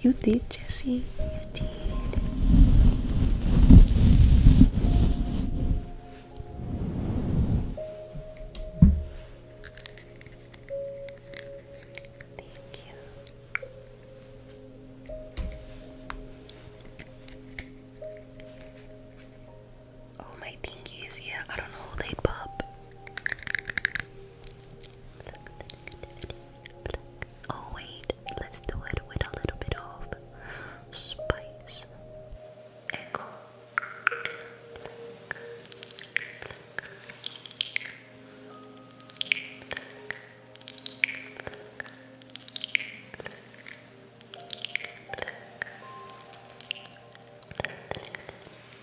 You did, Jesse. You did. Oh, my thingy is I don't know, they pop. Pluck the Oh wait, let's do it with a little bit of spice.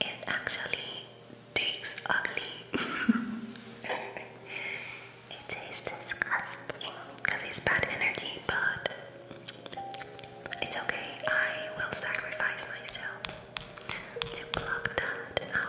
It actually tastes ugly. it tastes disgusting because it's bad energy, but it's okay, I will sacrifice myself to block that out.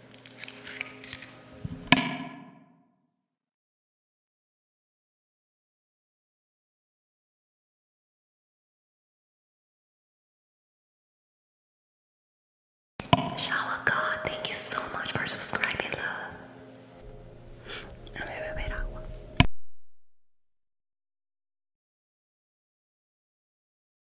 Shower God, thank you so much for subscribing, love. A ver, beber agua.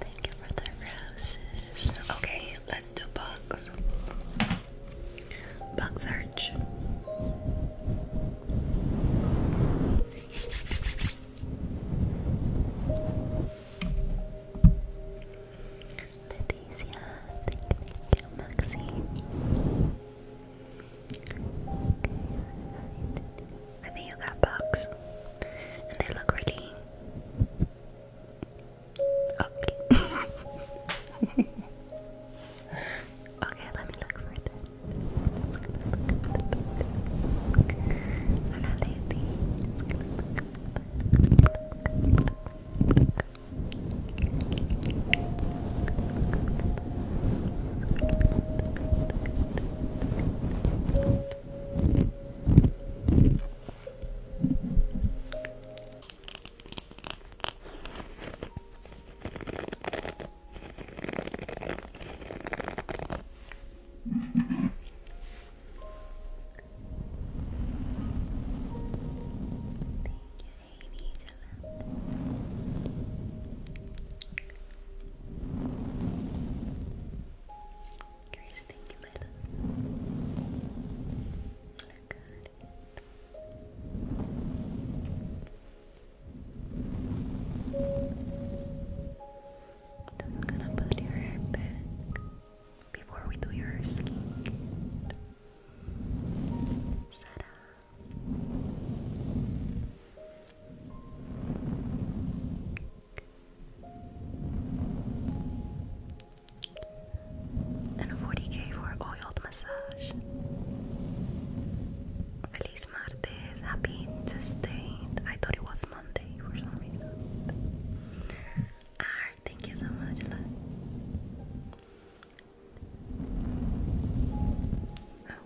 Thank you for the roses. Okay, let's do bugs. Bug search. Leticia, thank you, thank I think you got bugs, and they look really ugly. okay, let me look for it. Just gonna look at the book. Another thing. Thank you, Amy. Grace, thank you, my love. You're good. gonna put your hair back before we do your skin. Sarah, En 40k voor oiled massage. Feliz martes. Happy sustained. I thought it was Monday for some reason. Alright, thank you so much.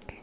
Okay.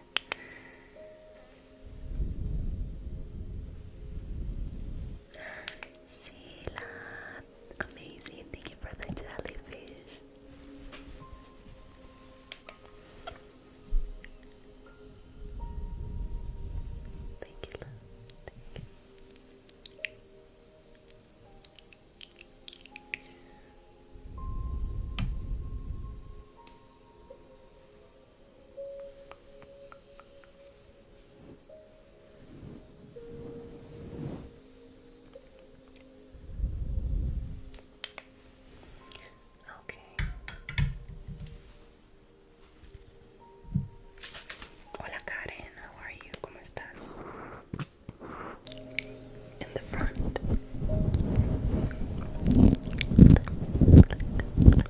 Sheila, amazing. Thank you for the jellyfish. Thank you. Okay. Hola Karen, how are you? ¿Cómo estás? In the front.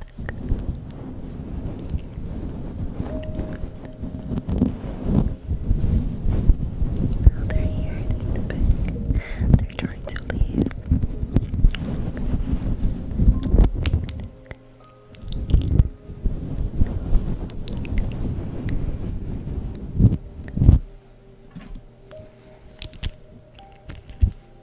Now they're here in the back. They're trying to leave. Okay.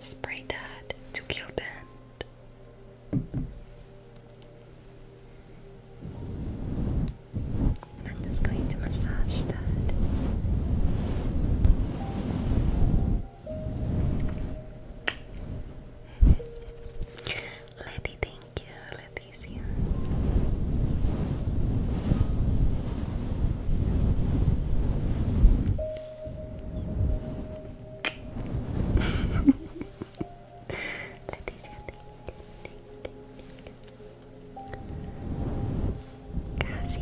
Spray that to kill that. I'm just going to massage that. Letty, thank you. Letty's here. Cassie,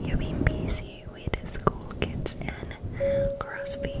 you've been busy with the school kids and crossfeed.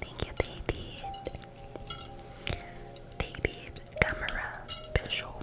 Thank you, baby. Baby camera visual.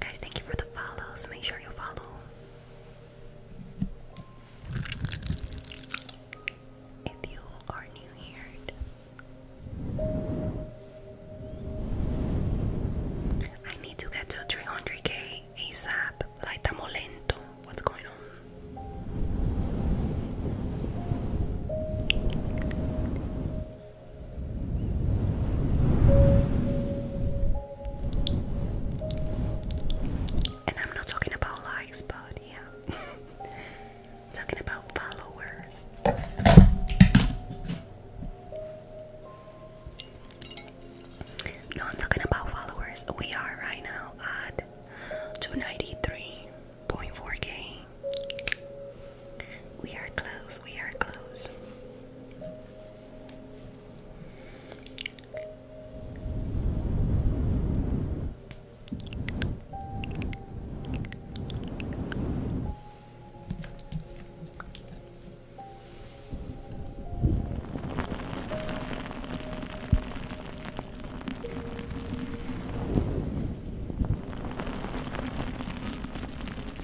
Guys, thank you for the follows. Make sure you follow. If you are new here, I need to get to 300k ASAP. Like, What's going on? And I'm not talking about likes, but talking about followers. No, I'm talking about followers. We are right now at 293.4k. We are close, we are close.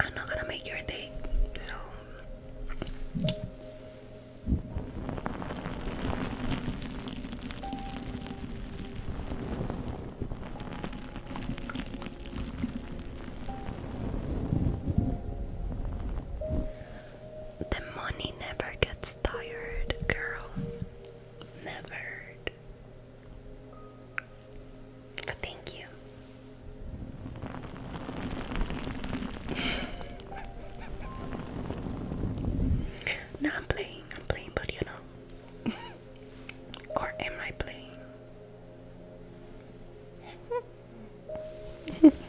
I'm not gonna make your day, so the money never gets tired, girl never thank you. no, I'm playing, I'm playing, but you know. or am I playing?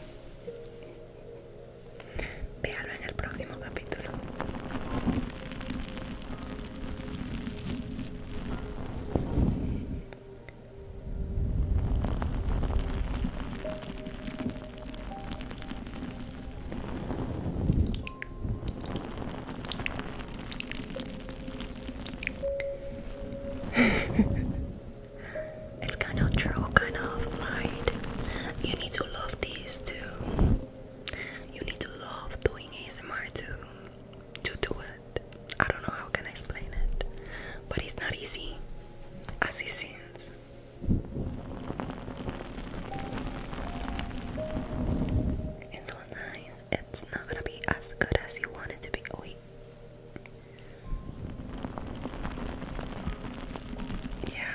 Véalo en el próximo capítulo. it's kind of true, kind of light. You need to love these too you need to love doing ASMR to to do it. I don't know how can I explain it, but it's not easy as it seems. And online, it's not gonna be as good as you want to be. Oh, Yeah,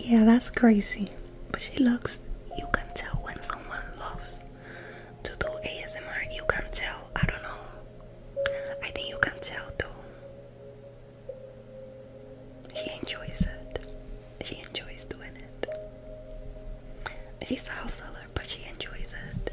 Yeah, that's crazy. But she looks, you can tell when someone loves to do ASMR. You can tell, I don't know. I think you can tell too. She enjoys it. She enjoys doing it. She's a house seller, but she enjoys it.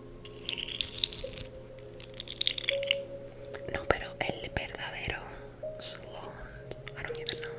No, pero el verdadero salon, ahora don't no.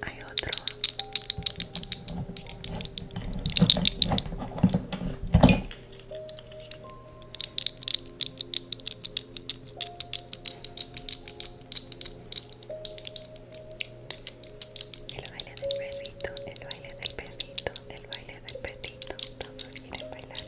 Hay otro. El baile del perrito, el baile del perrito, el baile baile del perrito, todos quieren bailar.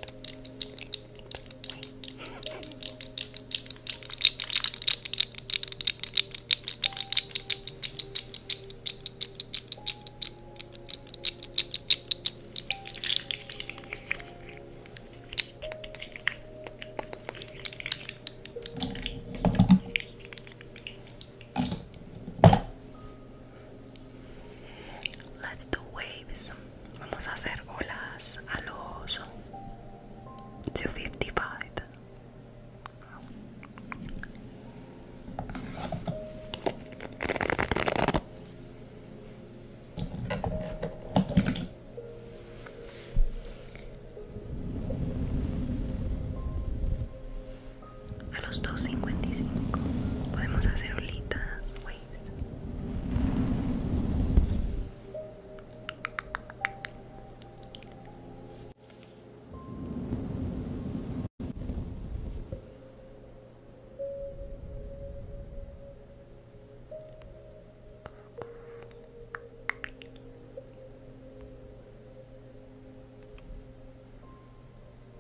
Let's do waves. Vamos a hacer olas a los 255. a los 2.55 podemos hacer olitas, waves.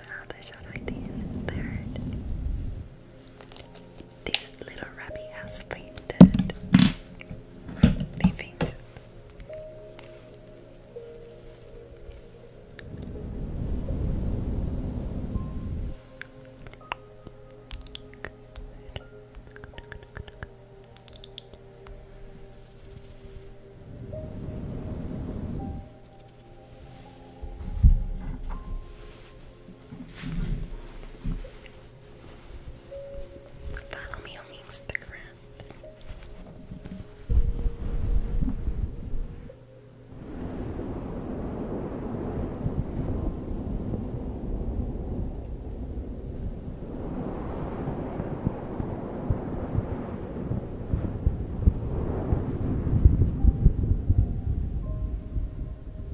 Now there's an idea in third. This little rabbit has fainted. They fainted. Follow me on Instagram. Hello,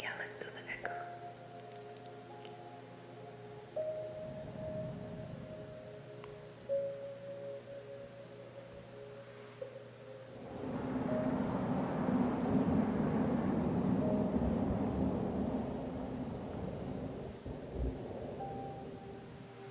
Yeah, let's do the neck.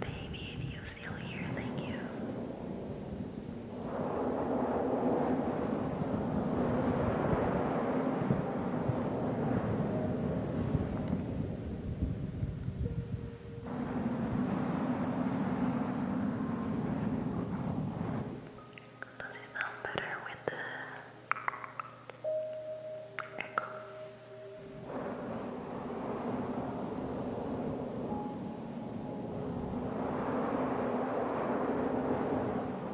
Baby, you still here, thank you. Does it sound better with the echo?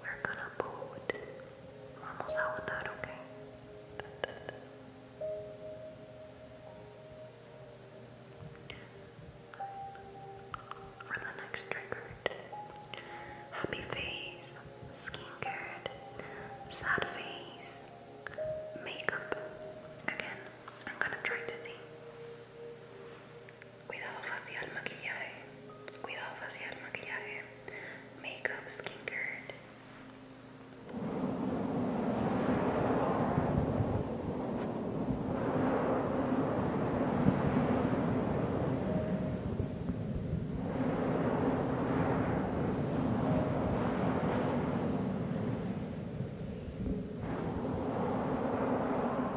we're gonna boot. Vamos a votar, okay? For the next trigger, happy face, skincare, sad face, makeup. Again, I'm gonna try to see. cuidado facial, maquillaje, cuidado facial, maquillaje, makeup, skincare.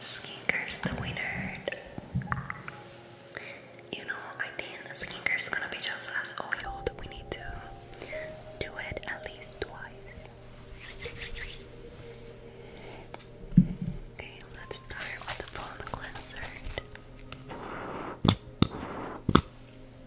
Skinker's the winner. You know, I think Skinker's gonna be just as oiled. We need to do it at least twice. Okay, let's start with the bone cleanser.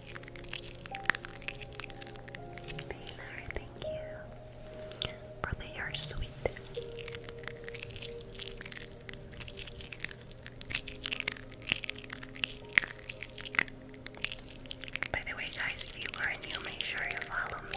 Taylor, thank you. Brother, you're sweet. By the way, guys, if you are new, make sure you follow me.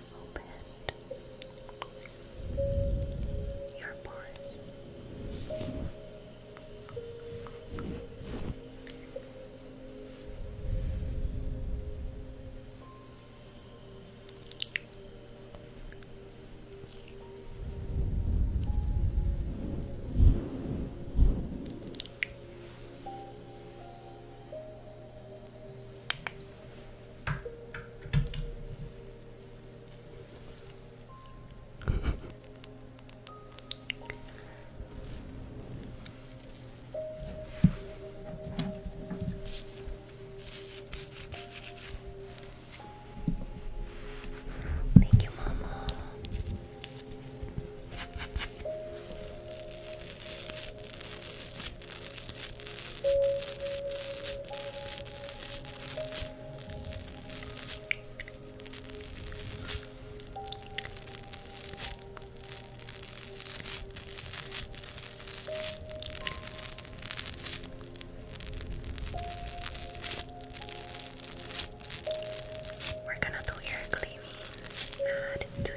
open your pores. Thank you, Mama. We're gonna do air cleaning. Add to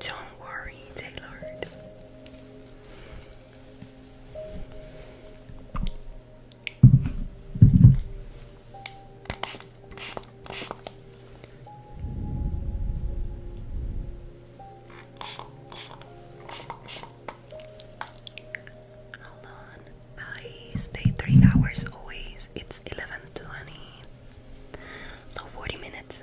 don't worry, Taylor. Hold on. I stay three hours always. It's eleven twenty. So forty minutes.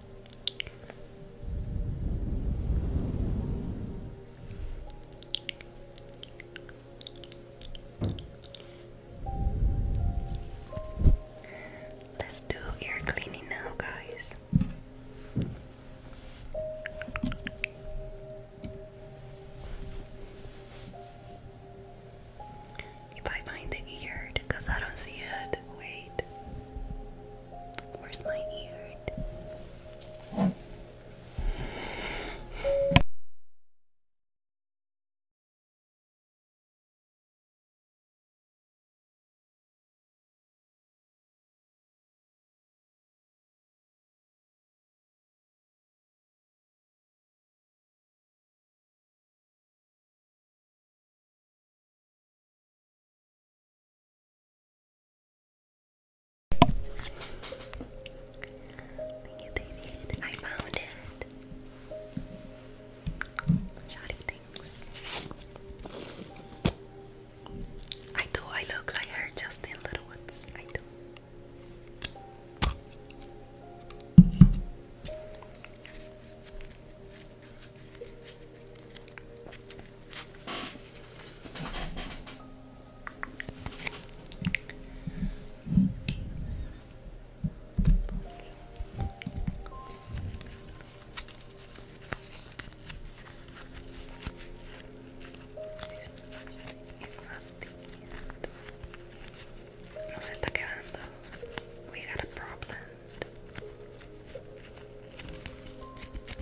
Let's do ear cleaning now, guys. If I find the ear, because I don't see it, wait. Where's my ear? Thank you, I found it. Shoddy things. I do. I look like her, Justin Littlewoods. I do. It's rusty. We got a problem.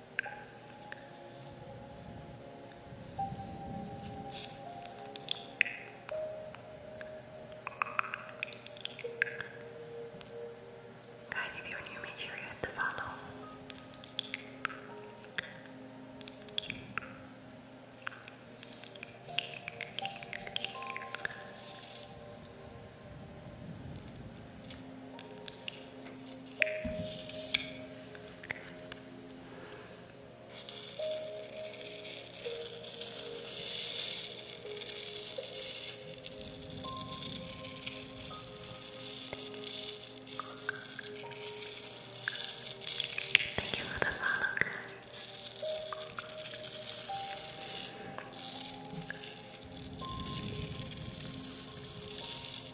Guys, if you're new, make sure you hit the follow. Thank you for the follow, guys.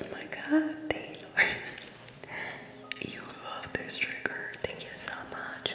Oh my God, Taylor. You love this trigger. Thank you so much.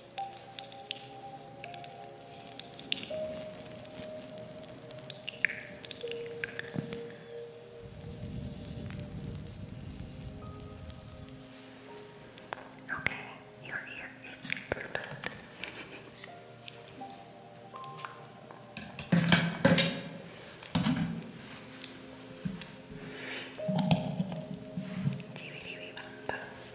Okay, your ear is perfect. Tiwi tiwi bamba.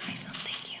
Hi, son, thank you.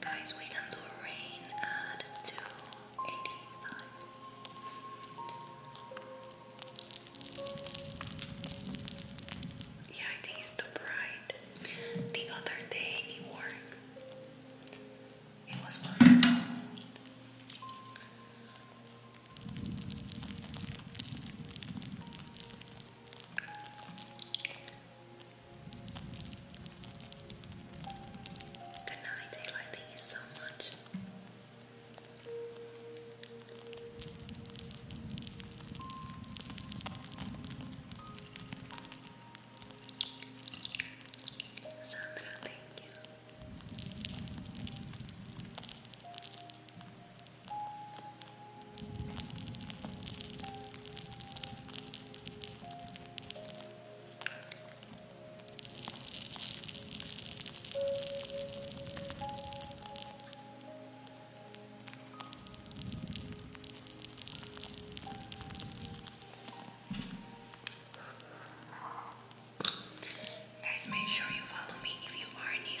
Guys, we can do rain at two. Yeah, I think too bright. The other day it worked. It was wonderful. Good night, I like these so much. Sandra, thank you. Guys, make sure you follow me if you are new.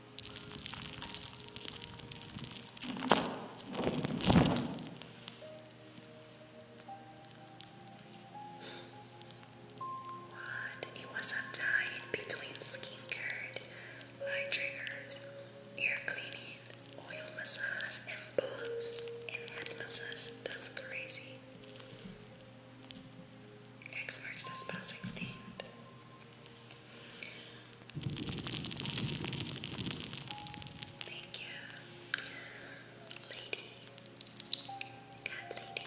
What? It was a tie between skincare, light triggers, ear cleaning, oil massage, and balls, and head massage. That's crazy. Experts, that's about 16. Thank you, lady. Cat lady.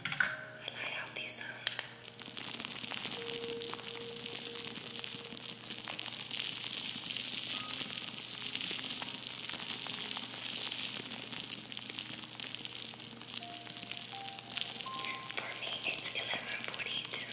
I like how these sounds. For me, it's eleven forty-two.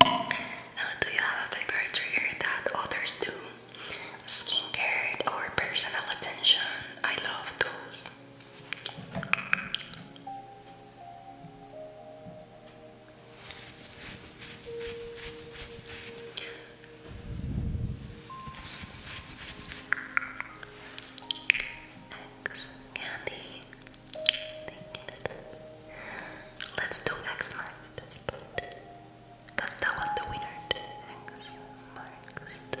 Uh, do you have a favorite trigger that others do? Skincare or personal attention? I love those. X candy. Thank you. Let's do X marks the spot. Cause that was the winner. X marks the spot.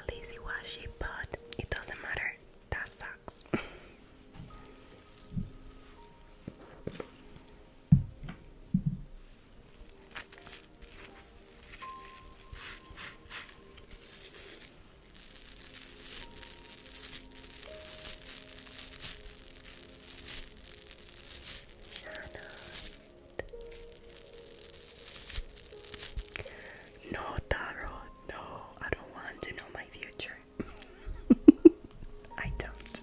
At least it was sheep, but it doesn't matter. That sucks. No, Taro, no, I don't want to know my future. I don't.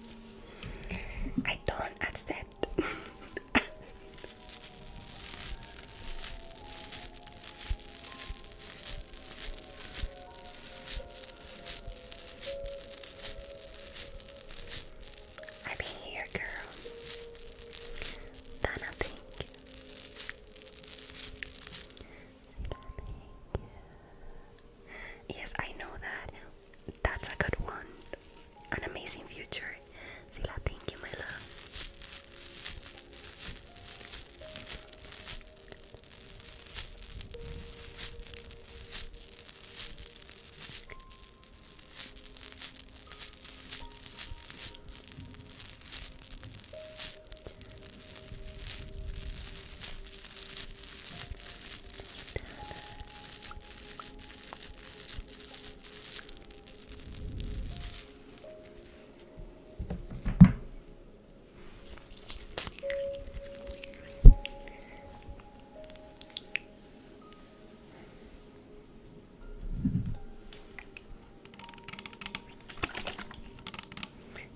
I don't accept that. I'm here, girl. Donna, thank Yes, I know that. That's a good one an amazing future. Sila, thank you, my love.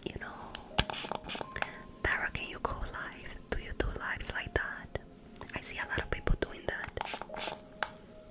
You know, Tara, can you go live? Do you do lives like that? I see a lot of people doing that.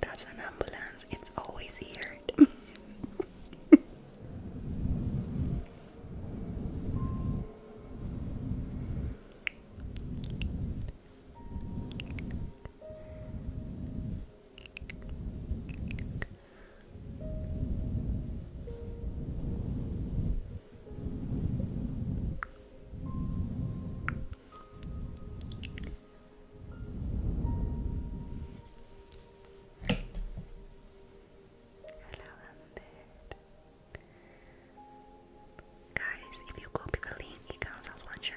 That's an ambulance, it's always here. Guys, if you copy the link, it comes as one shirt.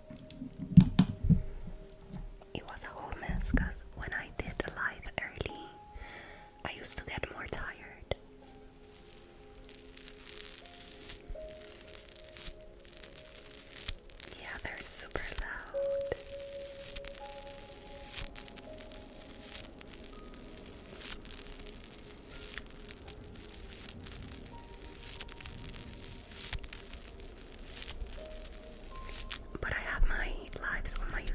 It was a whole mess because when I did the live early, I used to get more tired. Yeah, they're super loud. But I have my lives on my YouTube.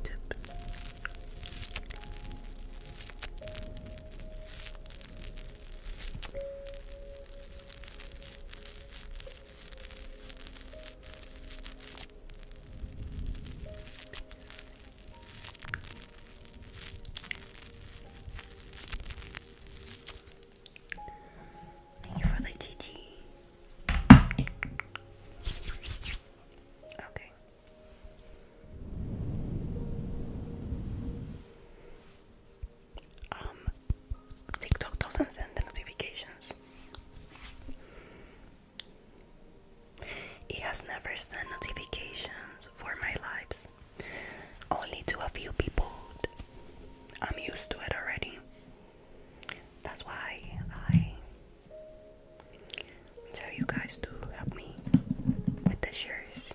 Thank you for the GG. Okay. Um, TikTok doesn't send notifications. It has never sent notifications for my lives. Only to a few people. I'm used to it already. That's why I tell you guys to help me with the shirts.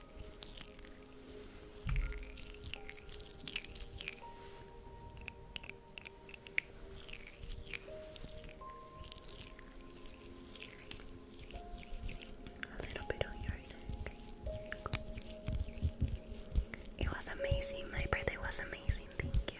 A little bit on your neck. It was amazing. My birthday was amazing. Thank you.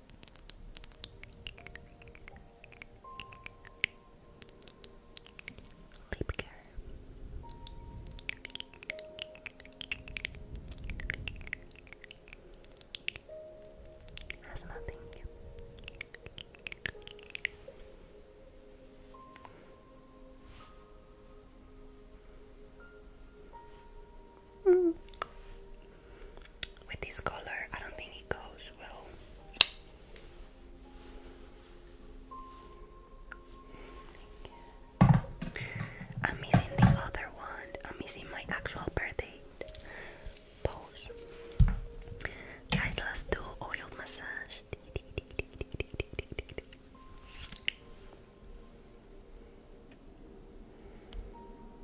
Leap care. Has nothing. Mm with this color, I don't think it goes well. I'm missing the other one. I'm missing my actual birthday pose. Guys, let's do oil massage.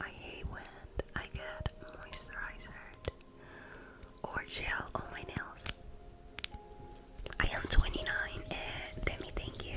I hate when I get moisturizer or gel on my nails. I am 29 and Demi, thank you.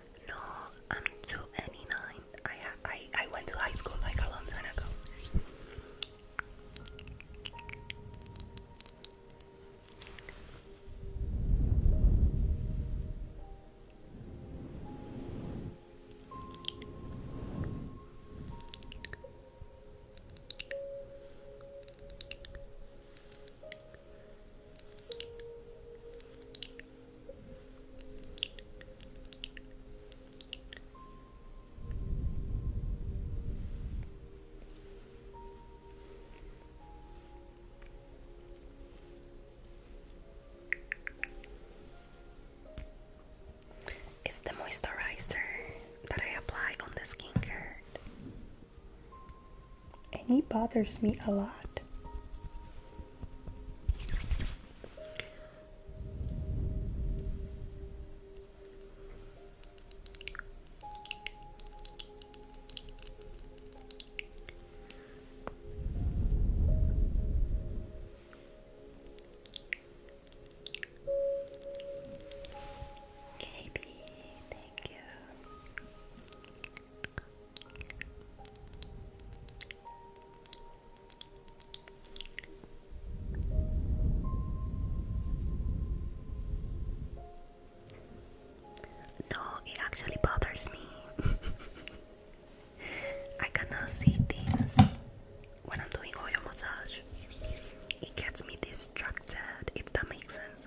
No, I'm 289. I, I I went to high school like a long time ago. It's the moisturizer that I apply on the skincare, and it bothers me a lot. Katie, thank you. No, it actually bothers me. I cannot see things when I'm doing oil massage. It gets me distracted, if that makes sense.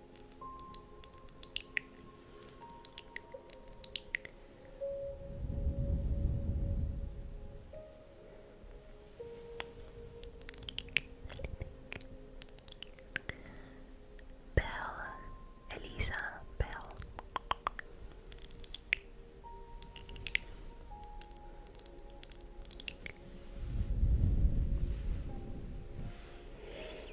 Bell, Elisa, Bell.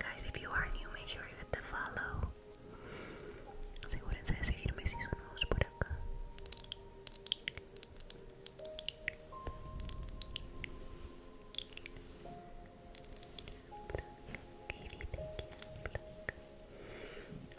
Guys, if you are new, make sure you follow. Asegúrense de seguirme si son nuevos por acá. thank you.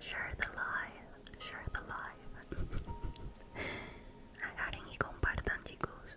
Share the live, share the live. Agarren y compartan, chicos.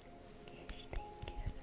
Yes, thank you. Pluck,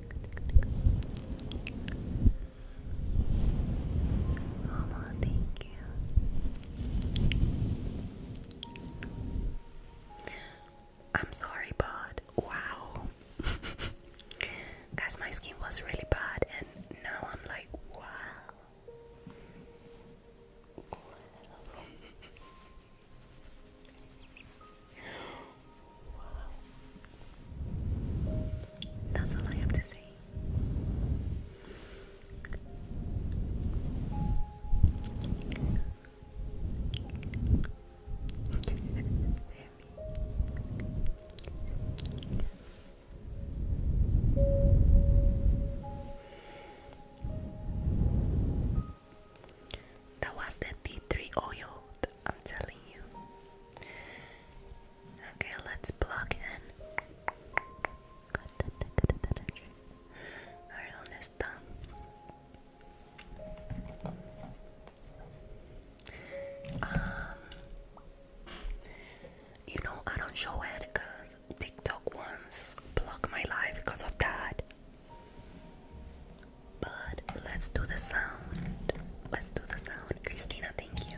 Oh, well, thank you. I'm sorry, bud. Wow. Guys, my skin was really bad, and now I'm like, wow. That's all I have to say. That was the tea three oil, I'm telling you. Okay, let's plug in. Alright, on this thumb. Um, you know I don't show it because TikTok once blocked my life because of that. But let's do the sound. Let's do the sound. Christina, thank you.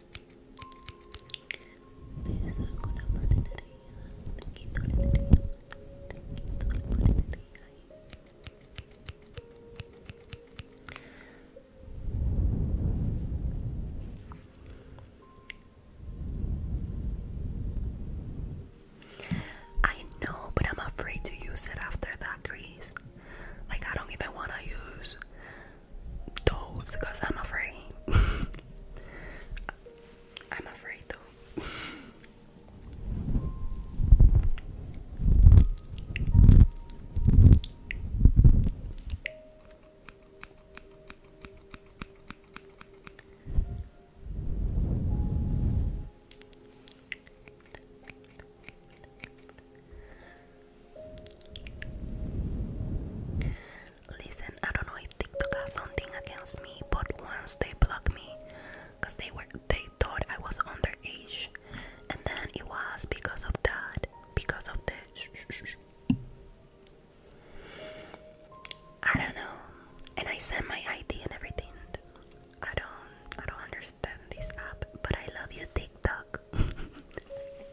I know, but I'm afraid to use it after that, Grace. Like, I don't even want to use those because I'm afraid. I'm afraid though. Listen, I don't know if TikTok has something against me, but once they blocked me, cause they were they thought I was underage, and then it was because of that, because of the. I don't know, and I sent my ID and everything. I don't, I don't understand this app, but I love you, TikTok.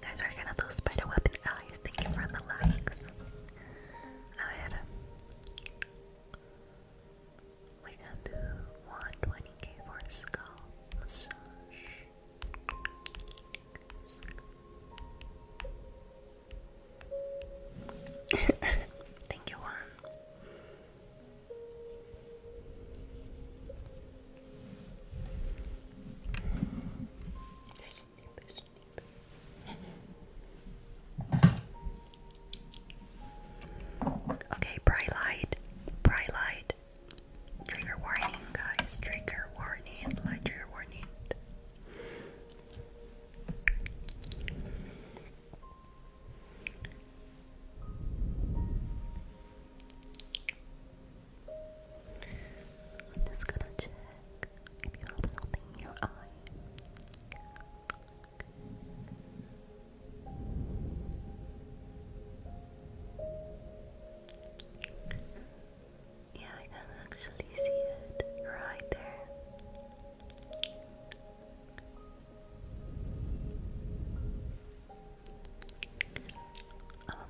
Guys, we're gonna those spider weapon eyes. Thank you for the likes. A ver. We can do 120k for skull massage. Thank you, Juan. Okay, bright light, bright light. Trigger warning, guys. Trigger warning, light trigger warning. I'm just gonna check if you have something in your eye. Yeah, I can actually see it right there.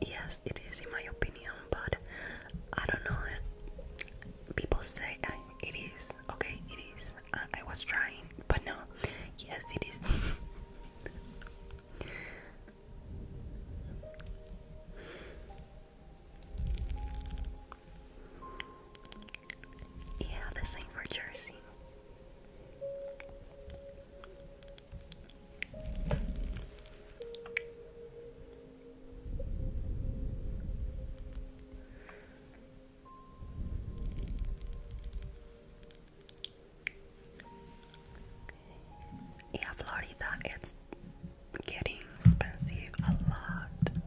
Yes, it is in my opinion, but I don't know. People say it is okay. It is. I was trying, but no. Yes, it is. Yeah, the same for Jersey. Yeah, Florida, it's getting expensive a lot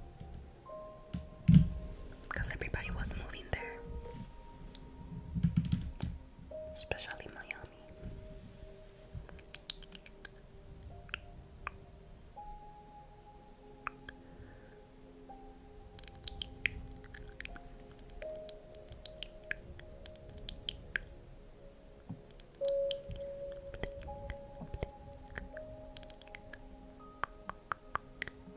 because everybody was moving there, especially Miami.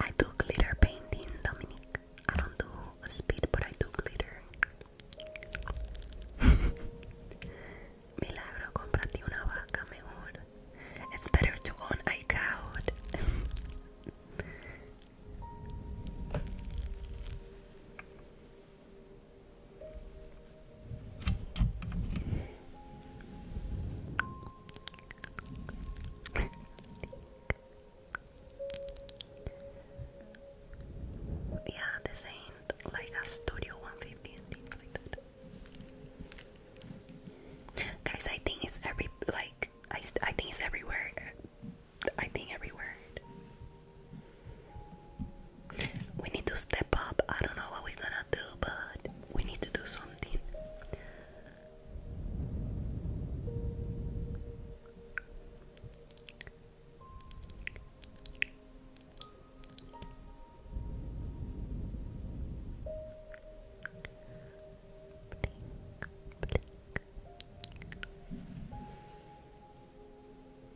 I do glitter painting, Dominic. I don't do speed, but I do glitter. Milagro, comprate una vaca mejor. It's better to own a crowd. yeah, this ain't like a Studio 150 and things like that. Guys, I think it's every like I I think it's everywhere. I think everywhere. We need to step up. I don't know what we're gonna do, but we need to do something.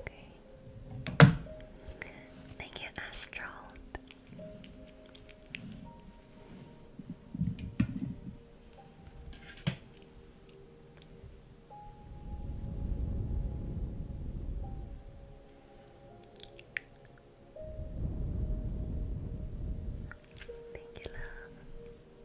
Okay. Thank you, Astral. Thank you, love.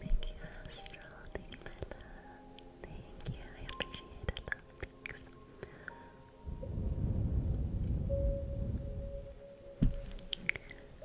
Thank you, Astral. Thank you, Linda. Thank you. I appreciate it. Love, thanks.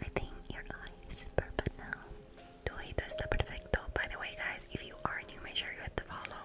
I think your eye is perfect now. Tu ojito está perfecto. By the way, guys, if you are new, make sure you hit the follow.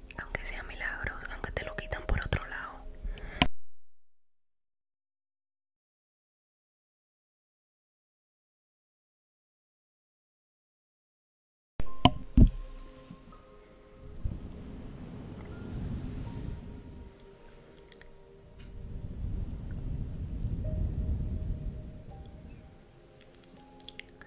aunque sea milagros, aunque te lo quitan por otro lado.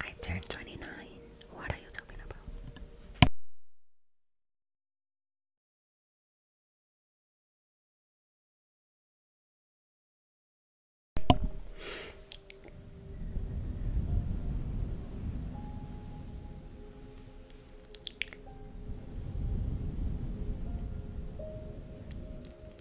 I turned 29. What are you talking about?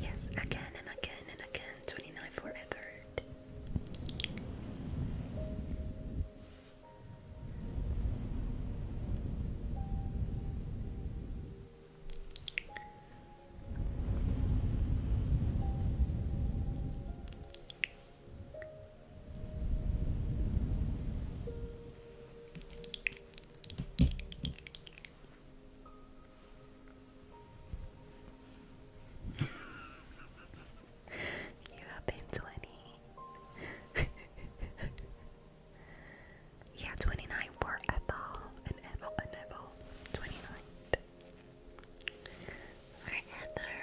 Yes, again and again and again. 29 for a third you have been 20. yeah, 29 forever and ever and ever. 29. For Heather.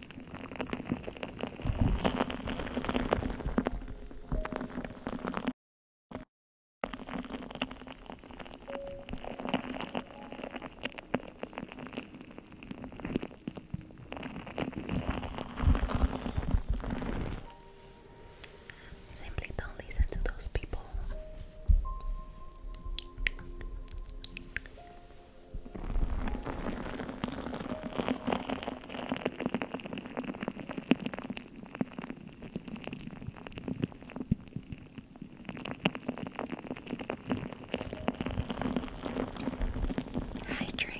Simply don't listen to those people. Hi, Drea.